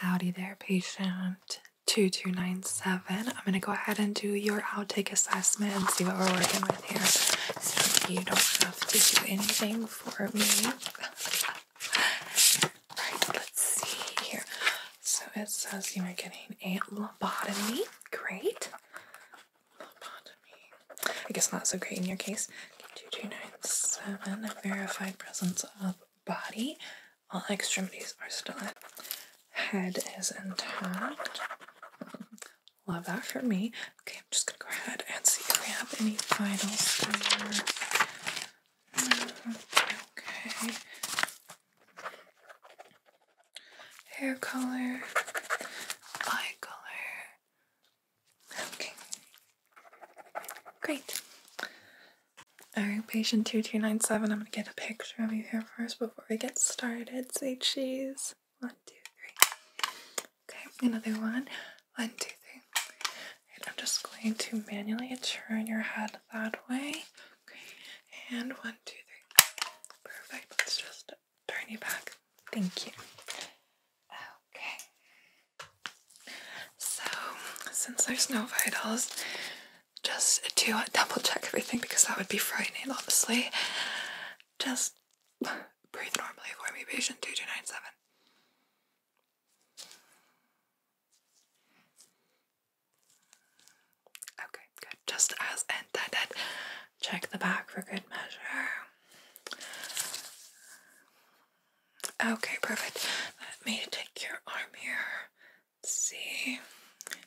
Howdy there, patient 2297. I'm going to go ahead and do your outtake assessment and see what we're working with here. So you don't have to do anything for me. right, let's see here. So it says you are getting a lobotomy. Great. Lobotomy. I guess not so great in your case. 2297, a verified presence of body. All extremities are still in. Head is intact. love that for me. Okay, I'm just gonna go ahead and see if we have any final. Okay. Hair color, eye color. Okay, Great. Alright, patient 2297, I'm gonna get a picture of you here first before we get started. Say cheese. One, two, three. Okay, another one. One, two, three. I'm just going to manually turn your head that way. Okay, and one, two, three. Perfect. Let's just turn you back. Thank you. Okay. So, since there's no vitals, just to double check everything because that would be frightening, obviously. Just breathe normally for me, patient 2297. Okay, good. Just as intended. Check the back for good measure. Okay, perfect. Let me take your arm here. Let's see. And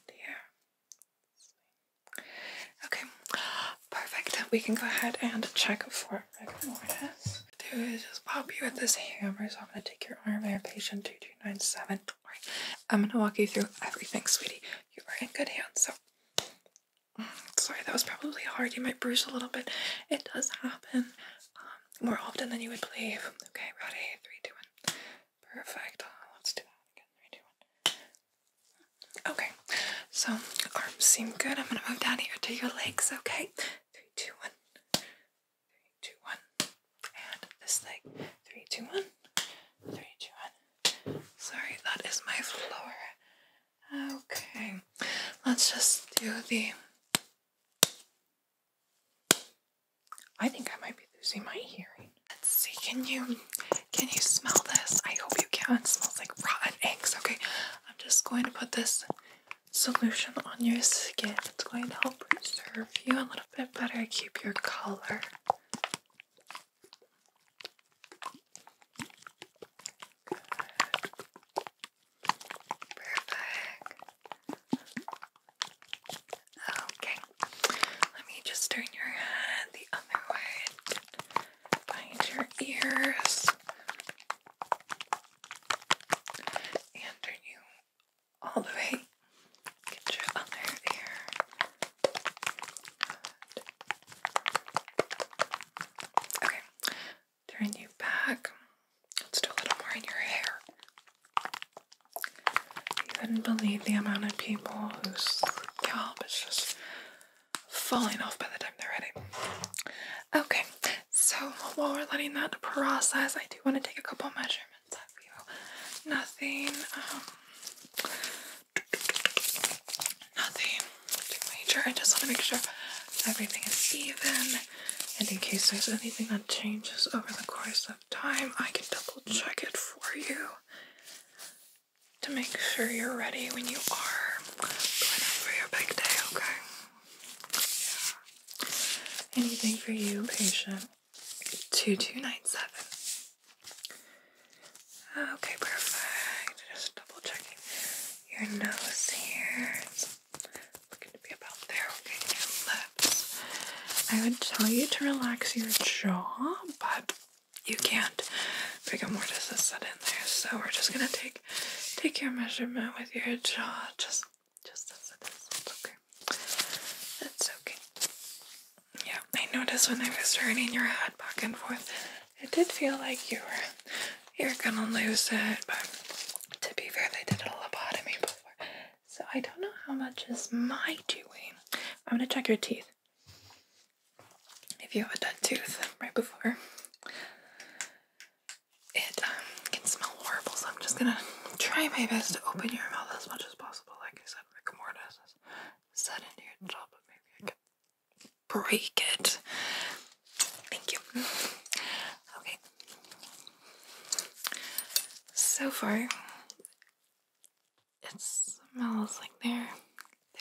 Okay, perfect. We can go ahead and check for rigor mortis. Do is just pop you with this hammer. So I'm going to take your arm there, patient 2297. Don't worry. I'm going to walk you through everything, sweetie. You are in good hands. So, mm, sorry, that was probably hard. You might bruise a little bit. It does happen more often than you would believe. Okay, ready? Three, two, one. Perfect. Uh, let's do that again. Three, two, one. Okay, so arms seem good. I'm gonna move down here to your legs. Okay, three, two, one. Three, two, one. And this leg. Three, two, one. Three, two, one. Sorry, that is my floor. Okay, let's just do the I think I might be losing my hearing. Let's see, can you can you smell this? I hope you can. It smells like rotten eggs. Okay, I'm just going to put this solution on your skin. It's going to help preserve you a little bit better, keep your color. Perfect. Okay. Let me just turn your head the other way. Behind your ears. And turn you all the way. Get your other ear. Okay. Turn you back. Let's do a little more in your hair. You couldn't believe the amount of people whose scalp is just falling off by the time they're ready. Okay, so while we're letting that process, I do want to take a couple measurements of you. Nothing, um, nothing major. I just want to make sure everything is even and in case there's anything that changes over the course of time, I can double check it for you to make sure you're ready when you are going out your big day, okay? Anything for you, patient 2297. Okay, perfect. Just double checking your nose here looking to be about there. Okay, lips. I would tell you to relax your jaw, but you can't. Brigomortis is set in there, so we're just gonna take take your measurement with your jaw, just just as it is. It's okay. It's okay. Yeah, I noticed when I was turning your head back and forth, it did feel like you were you're gonna lose it. But to be fair, they did a lobotomy before. So I don't know how much is my doing. I'm gonna check your teeth. If you have a dead tooth right before, it um, can smell horrible. So I'm just gonna try my best to open your mouth as much as possible. Like I said, rigor mortis is set into your jaw, but maybe I can break it. Thank you. Okay. So far, it smells like there.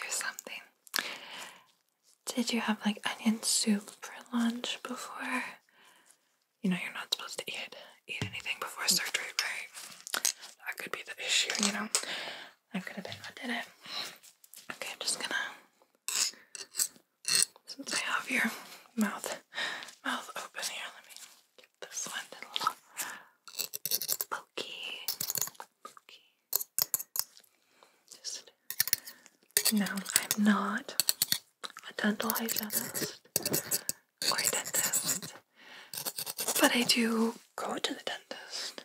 There's something. Did you have like onion soup for lunch before? You know you're not supposed to eat eat anything before surgery, right? That could be the issue, you know. I could have been I did it. Okay, I'm just gonna since I have your mouth mouth open here, let me get this one a little Just no, I'm not a dental hygienist or a dentist. But I do go to the dentist.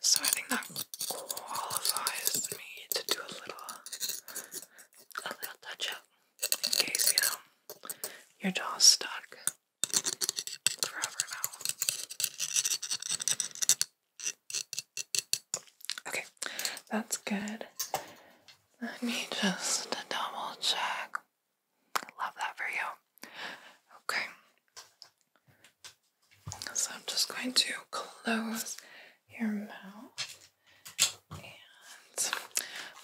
So I think that qualifies me to do a little, a little touch up in case you know your jaw's stuck forever now. Okay, that's good. Let me just double check. love that for you. Okay. So I'm just going to close your mouth and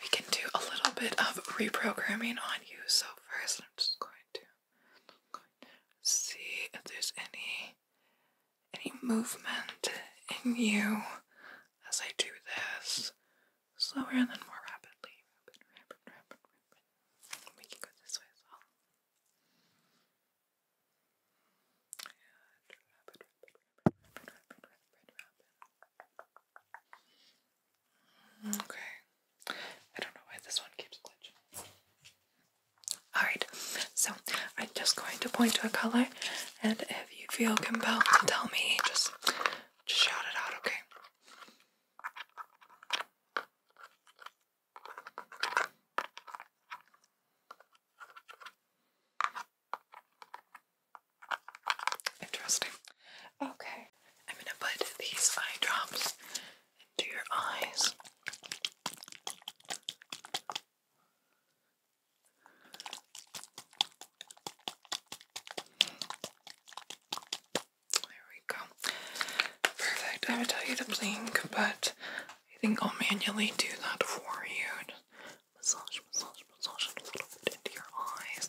we can do a little bit of reprogramming on you. So first I'm just going to see if there's any any movement in you as I do this slower and then more rapidly. We can go this way as well. Okay. I don't know why this one keeps glitching. Alright, so I'm just going to point to a color, and if you feel compelled to tell me, just, just shout it out, okay? Interesting. Okay, I'm going to put these eye drops into your eyes. There we go. Perfect. I would tell you to blink, but I think I'll manually do that for you. Just massage, massage, massage it a little bit into your eyes.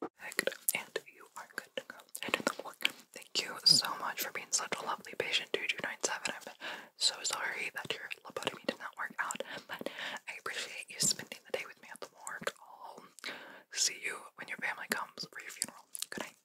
Perfect. And you are good to go. the work. Thank you so much for being such a lovely patient, 2297. I'm so sorry that your lobotomy did not work out, but I appreciate you spending the day with me at the morgue. I'll see you when your family comes for your funeral. Good night.